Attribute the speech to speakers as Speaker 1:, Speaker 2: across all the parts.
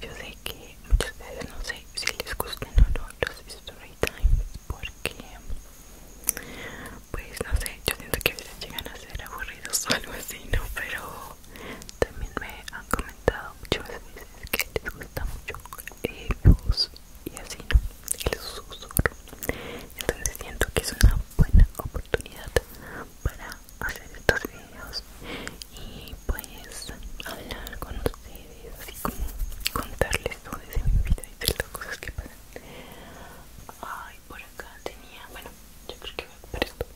Speaker 1: yo sé que muchas veces, no sé si les gustan o no los story porque pues no sé, yo siento que a veces llegan a ser aburridos o algo así, ¿no? Pero también me han comentado muchas veces que les gusta mucho el y así, ¿no? El susurro. Entonces siento que es una buena oportunidad para hacer estos videos y pues hablar con ustedes, así como contarles todo de mi vida y todas las cosas que pasan. Ay, por acá tenía, bueno, yo creo que voy para esto,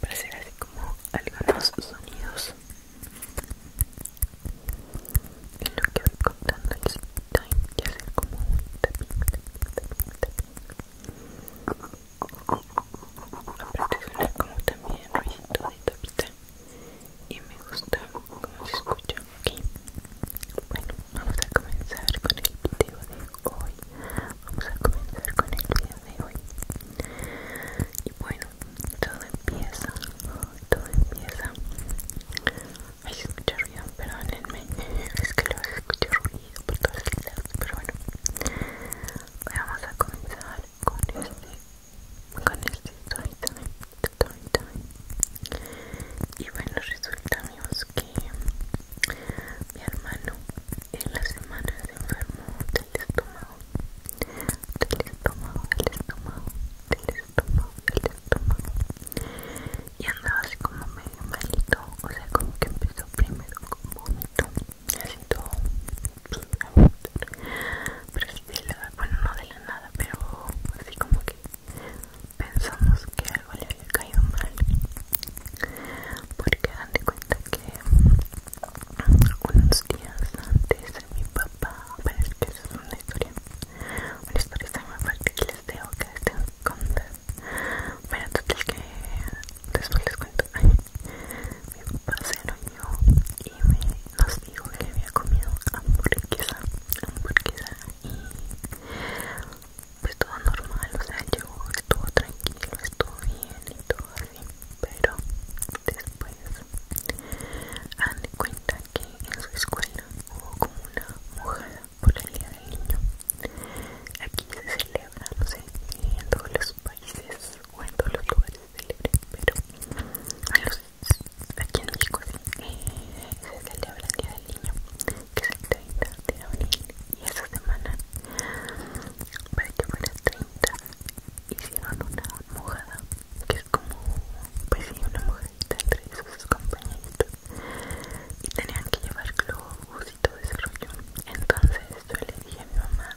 Speaker 1: para hacer así como algunos sonidos en lo que voy contando el time y hacer como un tapping, tapping, tapping, tapping. como también ruidito de tapita y me gusta cómo se escucha aquí bueno vamos a comenzar con el video de hoy vamos a comenzar con el video de hoy y bueno todo empieza todo empieza hay que escucha ruido, perdónenme, es que lo escucho ruido por las lados, pero bueno, vamos a comenzar con este con este story time, y bueno resulta amigos que mi hermano en la semana se enfermó del estómago del estómago del estómago del estómago del y andaba así como medio malito o sea como que empezó primero con vómito así todo, pero sí de la, bueno no de la nada pero así como que pensamos que algo le había caído mal porque dan de cuenta que unos días antes de mi papá parece que esa es una historia una historia más que les dejo que les tengo que contar pero total que después les cuento mi papá se yo y me, nos dijo que había comido hamburguesa, hamburguesa y pues todo normal, o sea yo estuvo tranquilo, estuvo bien y todo así, pero después han de cuenta que en su escuela hubo como una mojada por el día del niño. Aquí se celebra, no sé, en todos los países o en todos los lugares celebren, pero a los, aquí en México le eh, se celebra el Día del Niño, que es el 30 de abril, y esa semana, para que fuera 30, hicieron una mojada, que es como, pues sí, una mojadita entre sus compañeros y tenían que llevarlo globos y todo Entonces yo le dije a mi mamá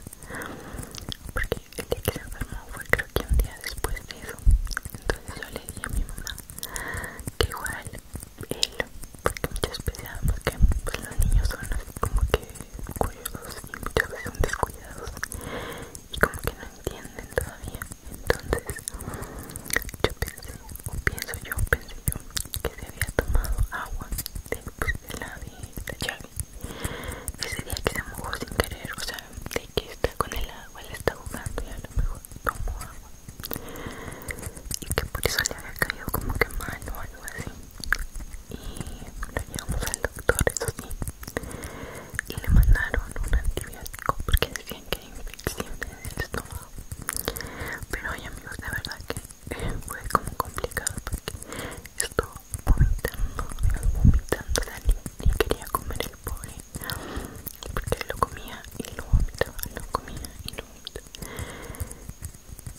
Speaker 1: porque el día que se enfermó fue creo que un día después de eso entonces yo le dije a mi mamá que igual él porque muchas veces porque pues, los niños son así como que cuidados y muchas veces son descuidados y como que no entienden todavía entonces yo pensé o pienso yo pensé yo que se había tomado agua después de la, de llave ese día que se mojó sin querer o sea de que está con el agua le está jugando y a lo mejor tomó agua y que por eso le había caído como que mal o algo así y lo llevamos al doctor eso sí y le mandaron un antibiótico porque decían que era infección en el estómago pero oye amigos de verdad que fue como complicado porque estuvo vomitando, vomitando niña y quería comer el pobre porque lo comía y lo vomitaba, lo comía y lo vomitaba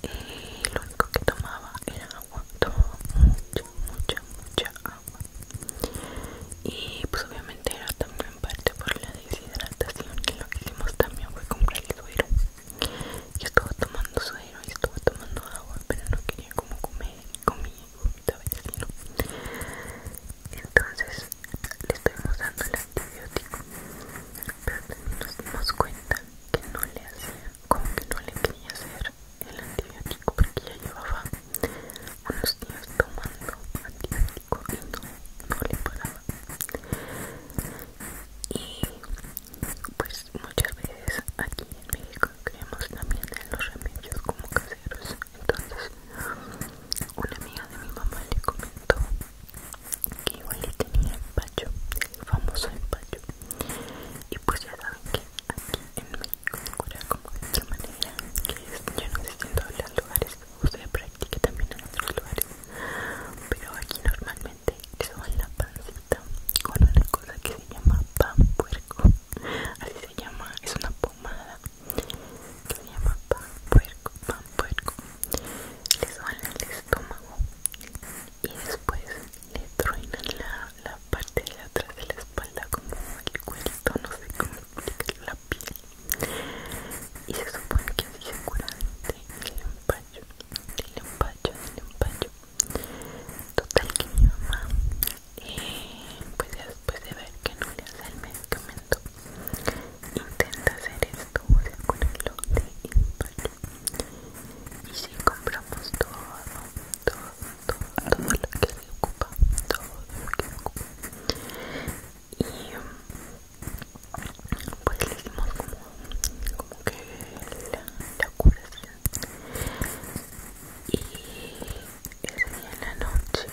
Speaker 1: y lo único que tomaba era agua, tomaba mucha, mucha, mucha agua y pues obviamente era también parte por la deshidratación y lo que hicimos también fue comprar el suero yo estaba tomando suero y estaba tomando agua, pero no quería como comer, comí comía y Entonces le estuvimos dando el antibiótico, pero nos dimos cuenta que no le hacía, como que no le quería hacer el antibiótico porque ya llevaba unos días tomando antibiótico y no, no le paraba y pues muchas veces aquí en México creemos también en los remedios como caseros entonces una amiga de mi mamá le comentó que igual le tenía empacho el famoso empacho y pues ya saben que aquí en México ocurre cura como de manera que ya no sé en todos los lugares usted practica también en otros lugares pero aquí normalmente van la pancita con una cosa que se llama pan puerco así se llama, es una pomada que se llama pan puerco, pan puerco le soban el estómago y después le truenan la, parte de atrás de la espalda como el cuento, no sé cómo la piel y se supone que si se cura el empacho, el empacho, el empacho. Total que mi mamá, eh, pues después de ver que no le hace el medicamento, intenta hacer esto, o sea, curarlo de empacho. Y si compramos todo, todo, todo, lo que le ocupa, todo lo que me ocupa y pues le hicimos como, que la, curación y ese día en la noche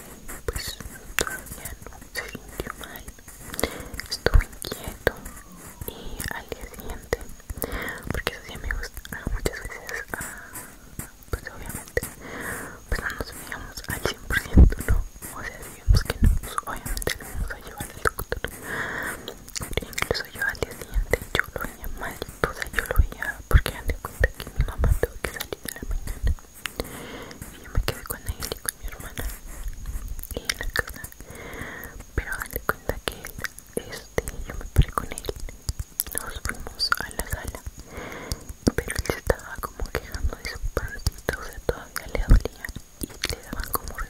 Speaker 1: pues todavía no se sintió mal estuvo inquieto y al día siguiente porque eso sí me gusta ah, muchas veces ah, pues obviamente pues no nos veíamos al 100% no o sea pues que no, pues, obviamente lo a llevar al doctor. Incluso yo al día siguiente yo lo veía mal, toda yo lo veía porque me de cuenta que mi mamá tuvo que salir en la mañana. Y yo me quedé con él y con mi hermana y en la casa. Pero de cuenta que él, este, yo me paré con él. Nos fuimos a la sala pero él se estaba como quejando de su pancita, o sea, todavía le dolía y le daban como él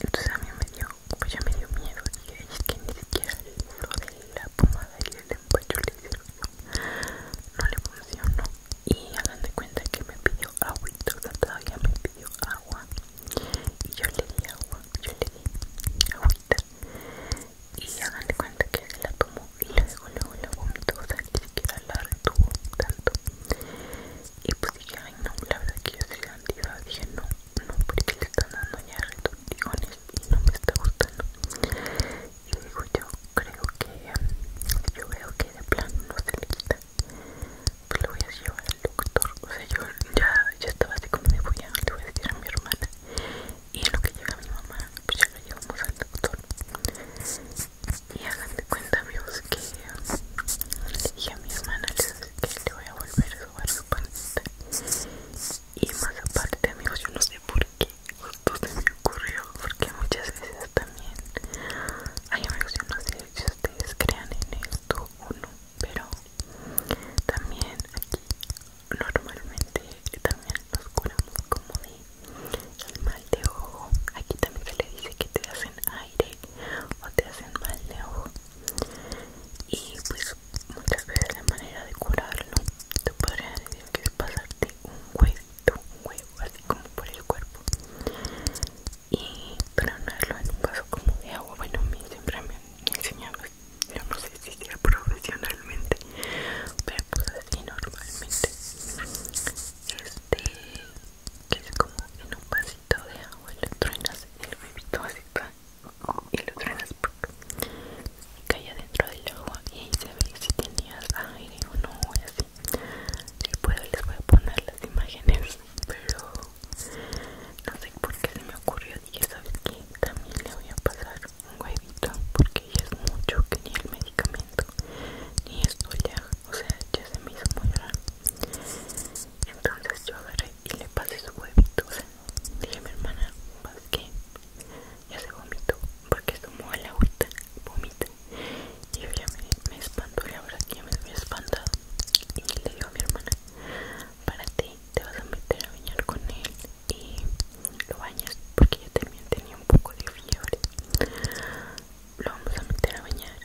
Speaker 1: Entonces a mí me dio, pues ya me dio miedo y es que ni siquiera lo de la pomada y el empacho le hicieron, no le funcionó. Y hagan de cuenta que me pidió agüita, o sea, todavía me pidió agua y yo le di agua, yo le di agüita y hagan cuenta que se la tomó y luego luego la vomito, o sea, ni siquiera la retuvo tanto y pues dije, ay no, la verdad que yo soy antiedad, dije no, no, porque le están dando ya retortijones y no me está gustando y le digo yo, creo que, yo veo que de plano no se le quita pues lo voy a llevar al doctor, o sea, yo ya, ya estaba así como voy a, le voy a decir a mi hermana y en lo que llega mi mamá pues ya la llevamos al doctor y hagan de cuenta amigos que le a mi hermana que le voy a volver a jugar su pancita y más aparte amigos yo no sé por qué justo se me ocurrió porque muchas veces también hay amigos yo no sé si ustedes crean en esto o no pero también aquí normalmente también nos curamos como de el mal de ojo aquí también se le dice que te hacen aire o te hacen mal de ojo y pues muchas veces la manera de curarlo te podría decir que es pasarte un huesito un huevo así como por el cuerpo y tronarlo en un vaso como de agua bueno siempre me, enseñan yo no sé si sea profesionalmente pero pues así normalmente este que es como en un vasito de agua y lo truenas el bebito así y lo truenas porque y cae dentro del agua y ahí se ve si tenías aire o no y así les, puedo, les voy a poner las imágenes pero no sé por qué se me ocurrió y dije sabes que también le voy a pasar un huevito porque ya es mucho que ni el medicamento ni esto ya, o sea, ya se me hizo muy raro. Entonces yo agarré y le pasé su huevito, dije a mi hermana, ¿vas que Ya se vomitó porque tomó el agüita, vomita. Y yo me, espantó, y la verdad que ya me había espantado. Y le digo a mi hermana, para ti, te vas a meter a bañar con él y lo bañas porque yo también tenía un poco de fiebre lo vamos a meter a bañar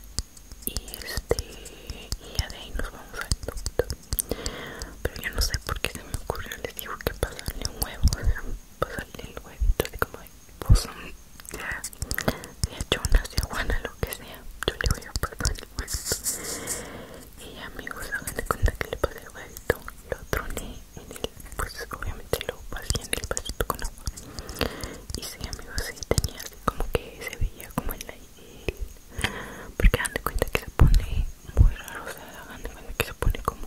Speaker 1: y este y ya de ahí nos vamos al punto pero yo no sé por qué se me ocurrió les digo que pasarle un huevo o pasarle el huevito así como de pozo sea, sea chona sea lo que sea yo le voy a pasar el huevito y amigos hagan de cuenta que le pasé el huevito lo troné en el pues obviamente lo pasé en el pasito con agua y sí amigos sí tenía como que se veía como el porque hagan de cuenta que se pone muy raro o sea hagan de cuenta que se pone como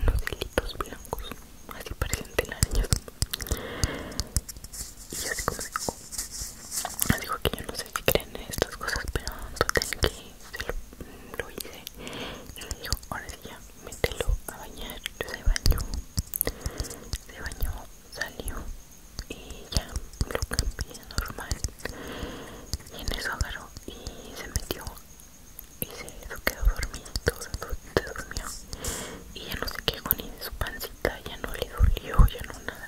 Speaker 1: unos hilitos blancos así parecen telarañas y así como digo, dijo que yo no sé si creen en estas cosas pero sé que se lo, hice y le dijo ahora sí ya mételo a bañar se bañó se bañó salió y ya lo cambié normal y en el agarró y se metió y se quedó dormido se, y ya no se quejó ni su pancita ya no le dolió ya no nada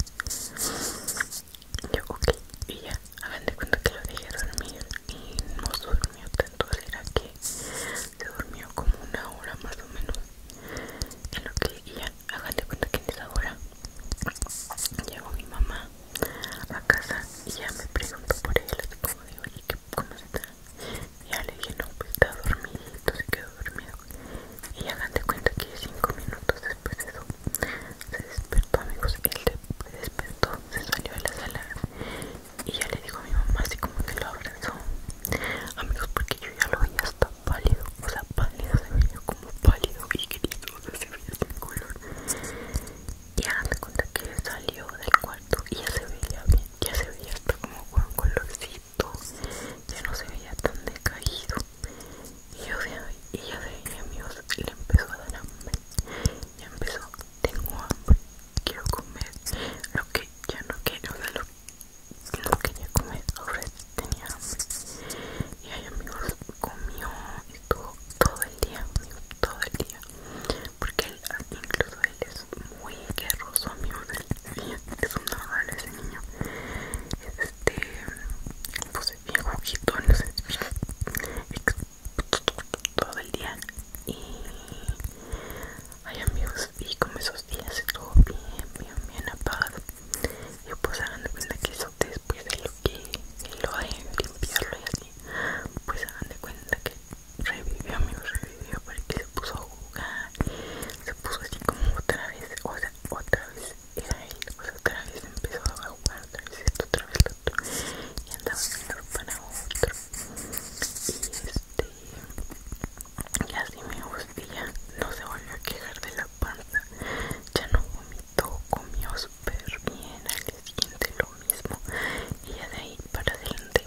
Speaker 1: yo, ok, y ya, hagan de cuenta que lo dejé dormir y no se durmió tanto, será que se durmió como una hora más o menos. En lo que y ya, hagan de cuenta que en esa hora llegó mi mamá a casa y ya me preguntó por él, así como digo, oye, ¿cómo se está? Y ya le dije, no, pues está dormido, se quedó dormido y hagan de cuenta que 5 minutos después de eso se
Speaker 2: despertó amigos él se despertó se salió de la sala y ya le dijo a mi mamá así como que lo abrazó amigos porque yo ya lo veía hasta pálido o sea pálido se veía como pálido y querido o se veía sin color y hagan de cuenta que salió del cuarto y ya se veía bien ya se veía hasta como con colorcito ya no se veía tan decaído y yo sé y le empezó a dar hambre. Ya empezó, tengo hambre, quiero comer lo que ya no quiero, o lo no quería comer, ahora tenía hambre. Y ahí amigos, comió, estuvo todo el día, todo el día. Porque ah, incluso él es muy guerroso, amigos, él, es un normal ese niño. Este puse bien juguito en los todo el día y hay amigos y como esos días se estuvo bien bien bien apagado y pues hagan de cuenta que eso después de lo que lo de limpiarlo y así pues hagan de cuenta que revivió amigos revivió porque se puso a jugar se puso así como otra vez o sea otra vez y ahí, pues otra vez empezó a jugar, otra vez esto, otra vez lo otro, y andaba de un para otro, y este, y así me gustó, no se volvió a quejar de la panza, ya no vomitó, comió súper bien, al siguiente lo mismo, y ya de ahí para adelante,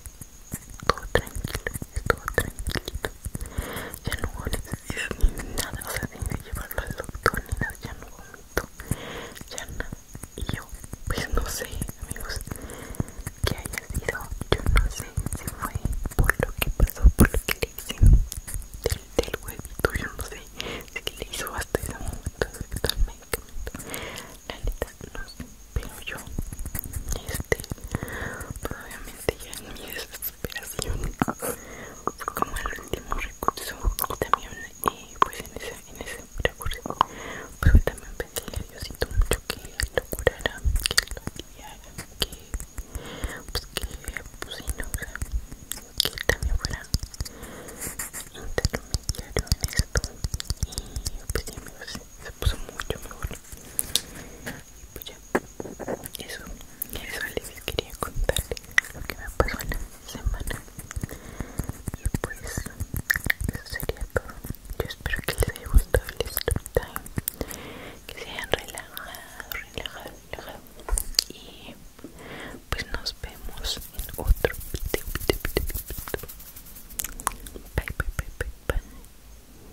Speaker 2: todo tranquilo, todo tranquilito, ya no hubo necesidad ni nada, o sea, ni que llevarlo al doctor ni nada, ya no vomito, ya no Y yo, pues no sé, amigos, qué haya sido, yo no
Speaker 1: sé si fue por lo que pasó, por lo que le hicieron del, del huevito, yo no sé si le hizo hasta ese momento efecto al medicamento, la neta, no pero yo, este, todavía en mi desesperación fue como el último recurso y también y eh, pues en ese, en ese recurso pues también pedí a Diosito mucho que lo curara, que lo guiara, que pues que pues sí, no, o sea, que él también fuera intermediario en esto y pues sí me se puso mucho mejor y pues ya, eso, eso les quería contar lo que me pasó en la semana. Y pues, eso sería todo. Yo espero que les haya gustado el story time, que se hayan relajado, relajado, relajado. Y pues nos vemos en otro bye.